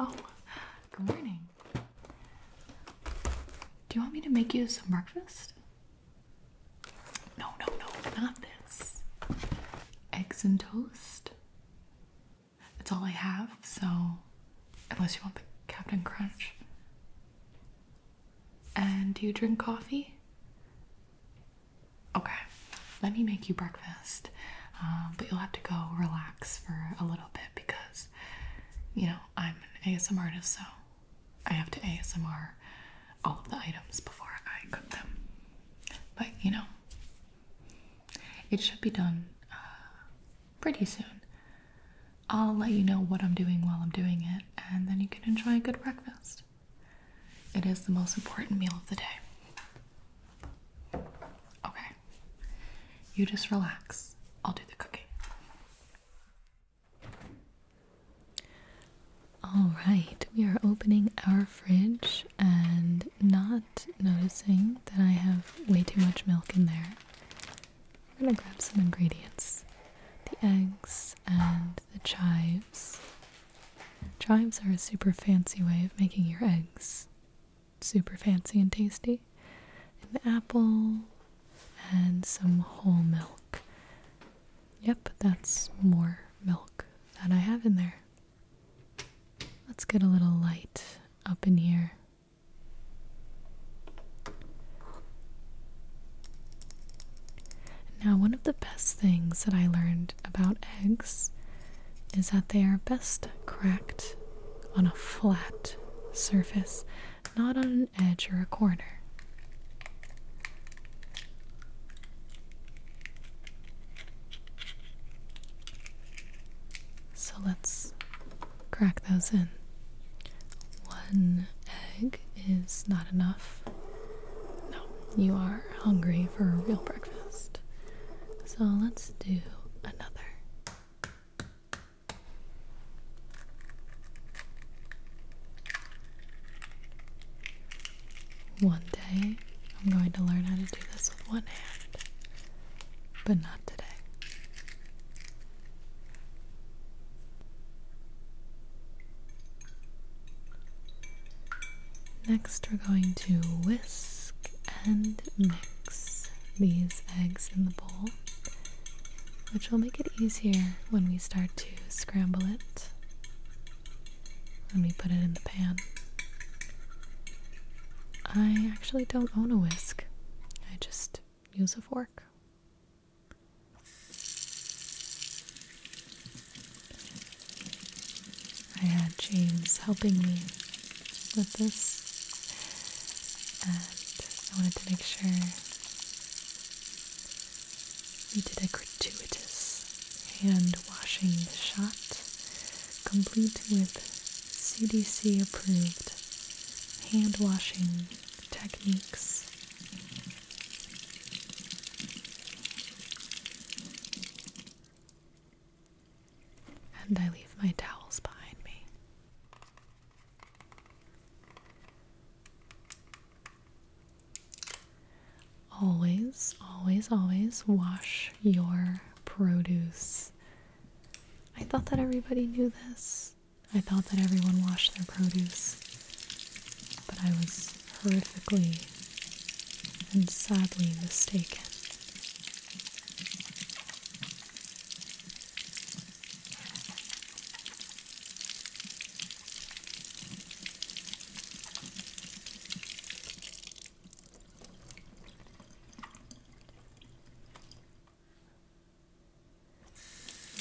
Oh, good morning. Do you want me to make you some breakfast? No, no, no, not this. Eggs and toast. That's all I have, so unless you want the Captain Crunch. And do you drink coffee? Okay, let me make you breakfast. Um, but you'll have to go relax for a little bit because, you know, I'm an ASMR artist, so I have to ASMR all of the items before I cook them. But, you know, it should be done uh, pretty soon. I'll let you know what I'm doing while I'm doing it, and then you can enjoy a good breakfast. It is the most important meal of the day. Okay. You just relax. I'll do the cooking. All right, we are opening our fridge and not noticing that I have way too much milk in there. We're gonna grab some ingredients the eggs and the chives Chives are a super fancy way of making your eggs super fancy and tasty. An apple and some whole milk. Yep, that's more milk that I have in there. Let's get a little light up in here. Now, one of the best things that I learned about eggs is that they are best cracked on a flat surface, not on an edge or a corner. So let's crack those in. One egg is not enough. No, you are hungry for a real breakfast. So let's do another. One day I'm going to learn how to do this with one hand, but not today. Next, we're going to whisk and mix these eggs in the bowl, which will make it easier when we start to scramble it when we put it in the pan. I actually don't own a whisk, I just use a fork. I had James helping me with this, and I wanted to make sure we did a gratuitous hand washing shot, complete with CDC approved hand washing techniques and I leave my towels behind me. Always, always, always wash your produce. I thought that everybody knew this. I thought that everyone washed their produce but I was horrifically and sadly mistaken.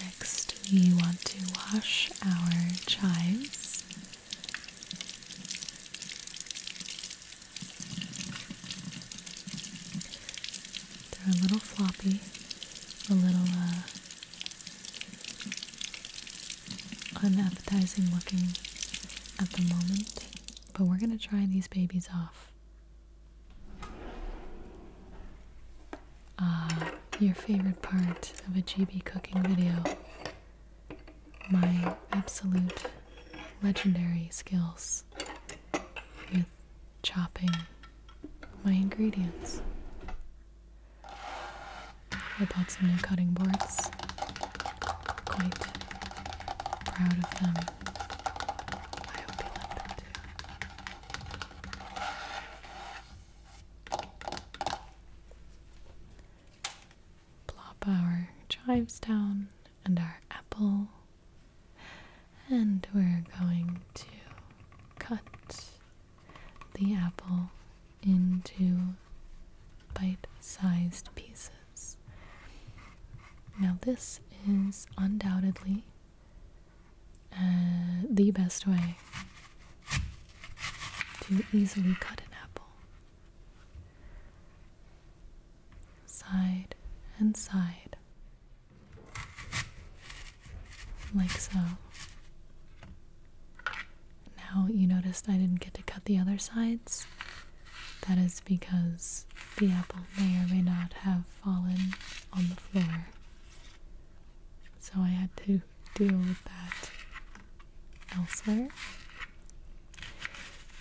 Next, we want to wash our chives. They're a little floppy, a little uh, unappetizing looking at the moment, but we're going to try these babies off uh, your favorite part of a GB cooking video. My absolute legendary skills with chopping my ingredients. I bought some new cutting boards. Quite proud of them. I hope you like them Plop our chives down and our apple. And we're going to cut the apple into bite sized pieces. Now, this is undoubtedly uh, the best way to easily cut an apple. Side and side, like so. Now you noticed I didn't get to cut the other sides. That is because the apple may or may not have fallen on the floor. So I had to deal with that elsewhere.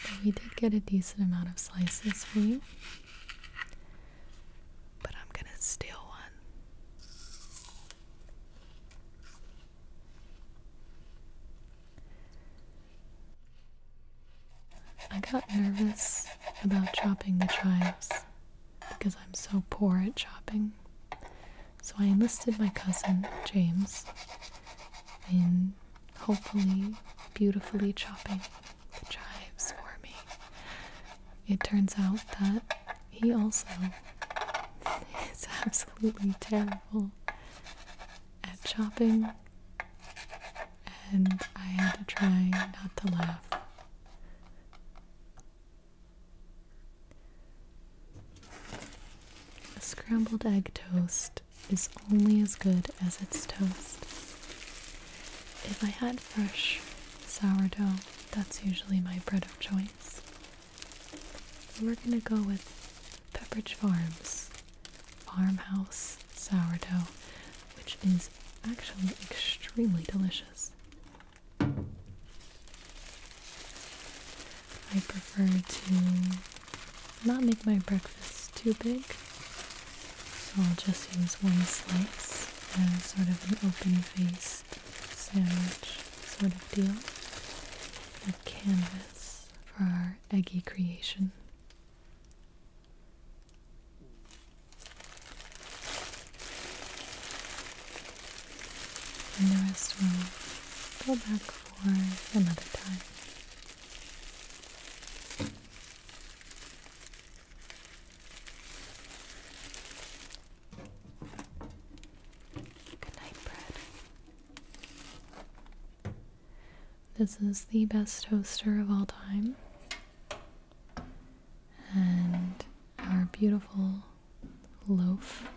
But we did get a decent amount of slices for you. But I'm gonna steal one. I got nervous about chopping the chives because I'm so poor at chopping, So I enlisted my cousin, James, in hopefully beautifully chopping the chives for me. It turns out that he also is absolutely terrible at chopping, and I had to try not to laugh a scrambled egg toast is only as good as its toast. If I had fresh sourdough, that's usually my bread of choice. We're gonna go with Pepperidge Farms farmhouse sourdough, which is actually extremely delicious. I prefer to not make my breakfast too big, so I'll just use one slice as sort of an open-faced sandwich sort of deal. A canvas for our eggy creation. In the rest will go back for another time. Good night, bread. This is the best toaster of all time and our beautiful loaf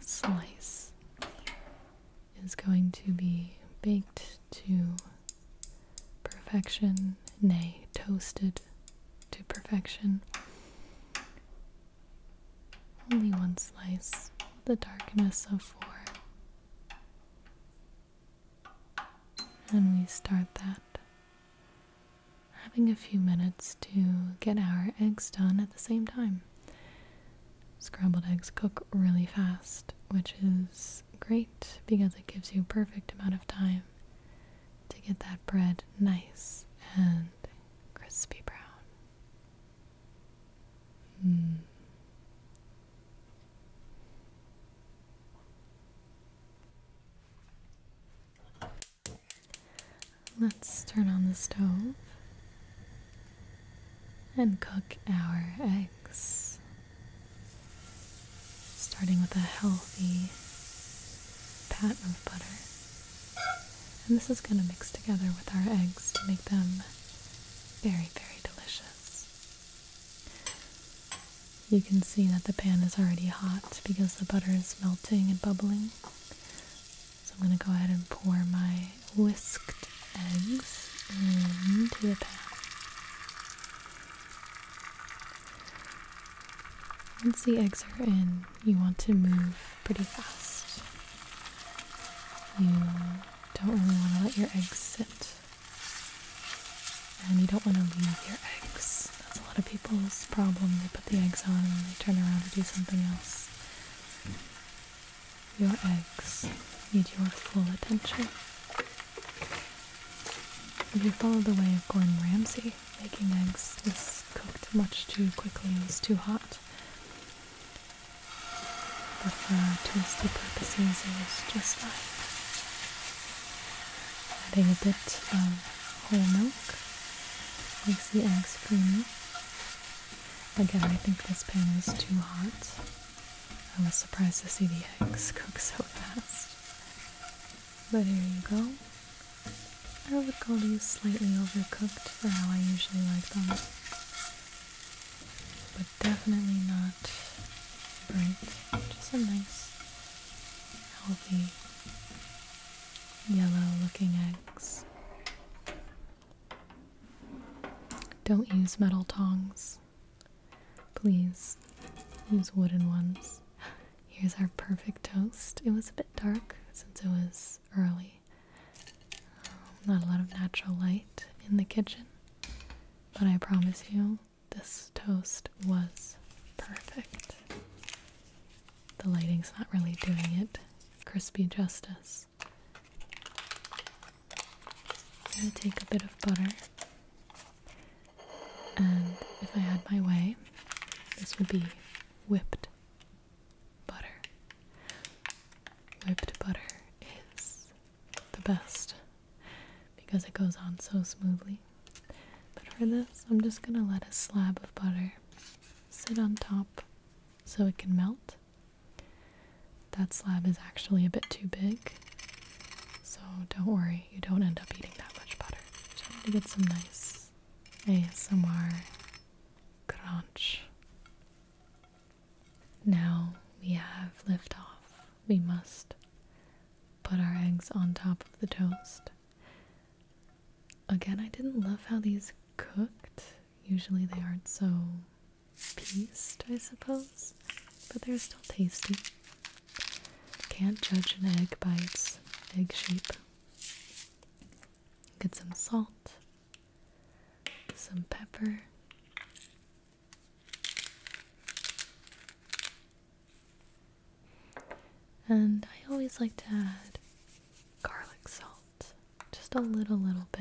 slice is going to be baked to perfection, nay, toasted to perfection. Only one slice, the darkness of four. And we start that having a few minutes to get our eggs done at the same time. Scrambled eggs cook really fast, which is great because it gives you a perfect amount of time to get that bread nice and crispy brown. Hmm. Let's turn on the stove and cook our eggs. Starting with a healthy pat of butter. And this is going to mix together with our eggs to make them very, very delicious. You can see that the pan is already hot because the butter is melting and bubbling. So I'm going to go ahead and pour my whisked eggs into the pan. Once the eggs are in, you want to move pretty fast. You don't really want to let your eggs sit and you don't want to leave your eggs. That's a lot of people's problem. They put the eggs on and they turn around to do something else. Your eggs need your full attention. If you follow the way of Gordon Ramsay, making eggs is cooked much too quickly, it's too hot. But for toasty purposes, it was just fine. Adding a bit of whole milk makes the eggs creamy. Again, I think this pan is too hot. I was surprised to see the eggs cook so fast. But here you go. I would call these slightly overcooked for how I usually like them. But definitely not bright. Just a nice, healthy, yellow looking eggs. Don't use metal tongs. Please use wooden ones. Here's our perfect toast. It was a bit dark since it was early. Um, not a lot of natural light in the kitchen, but I promise you this toast was perfect. The lighting's not really doing it crispy justice. I'm going to take a bit of butter, and if I had my way, this would be whipped butter. Whipped butter is the best because it goes on so smoothly. But for this, I'm just gonna let a slab of butter sit on top so it can melt. That slab is actually a bit too big, so don't worry, you don't end up eating that much butter. Just to get some nice ASMR crunch. Now we have liftoff. We must put our eggs on top of the toast. Again, I didn't love how these cooked. Usually they aren't so pieced, I suppose, but they're still tasty. Can't judge an egg by its egg shape. Get some salt, some pepper, and I always like to add garlic salt, just a little, little bit.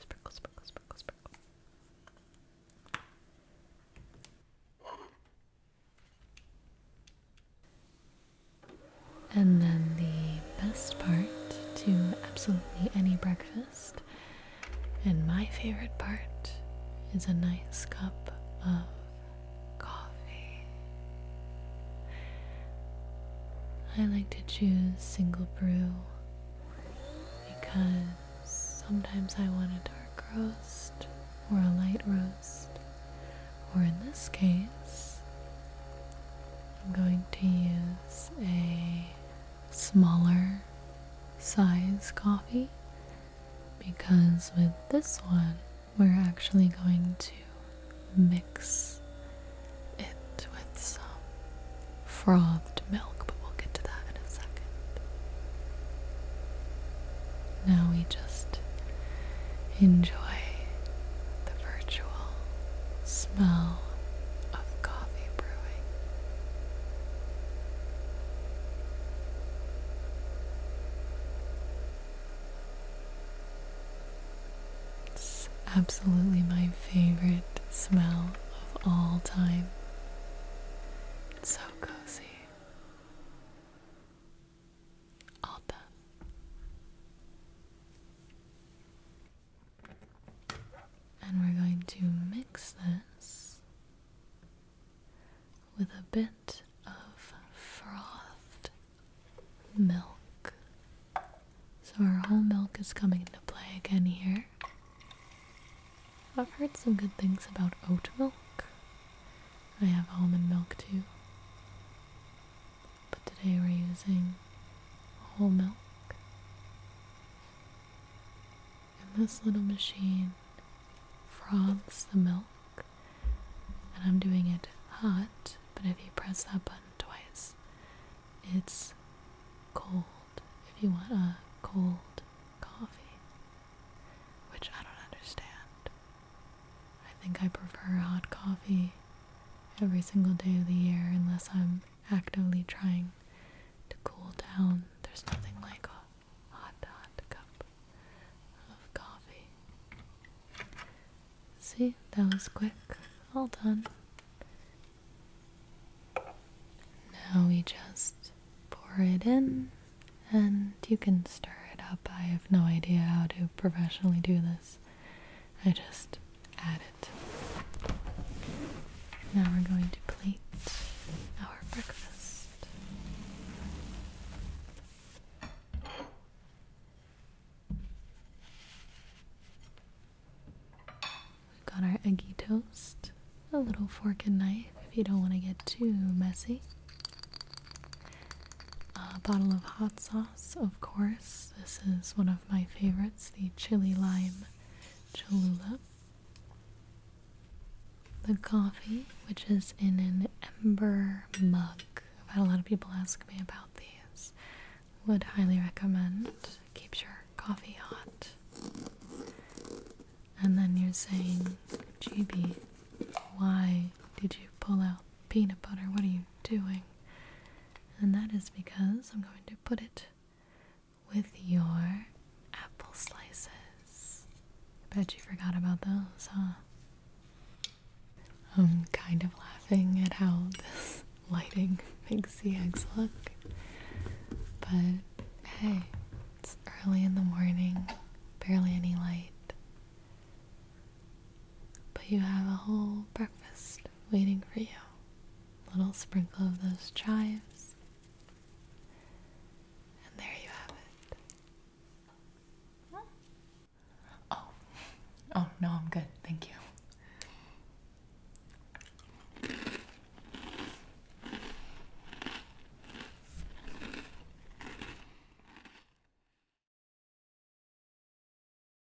Sprinkle, sprinkle, sprinkle, sprinkle. And then the best part to absolutely any breakfast and my favorite part is a nice cup of coffee. I like to choose single brew because sometimes I want a dark roast or a light roast, or in this case, I'm going to use a smaller size coffee because with this one we're actually going to mix it with some frothed milk, but we'll get to that in a second. Now we just enjoy the virtual smell of of coffee brewing. It's absolutely my favorite smell of all time. so cozy. All and we're going to mix this with a bit of frothed milk. So our whole milk is coming into play again here. I've heard some good things about oat milk. I have almond milk too. But today we're using whole milk. And this little machine froths the milk. And I'm doing it hot, but if you press that button twice, it's cold. If you want a cold coffee, which I don't understand. I think I prefer hot coffee every single day of the year unless I'm actively trying to cool down. There's nothing like a hot, hot cup of coffee. See, that was quick. All done. Now we just pour it in and you can stir it up. I have no idea how to professionally do this. I just added. Now we're going to plate our breakfast. We've got our eggy toast, a little fork and knife if you don't want to get too messy. A bottle of hot sauce, of course. This is one of my favorites. It's the chili lime Cholula. The coffee, which is in an ember mug. I've had a lot of people ask me about these. Would highly recommend. Keeps your coffee hot. And then you're saying, GB, why did you pull out peanut butter? What are you doing? And that is because I'm going to put it with your apple slices. I bet you forgot about those, huh? I'm kind of laughing at how this lighting makes the eggs look. But hey, it's early in the morning, barely any light. But you have a whole breakfast waiting for you. A little sprinkle of those chives. And there you have it. Oh. Oh, no, I'm good. Thank you.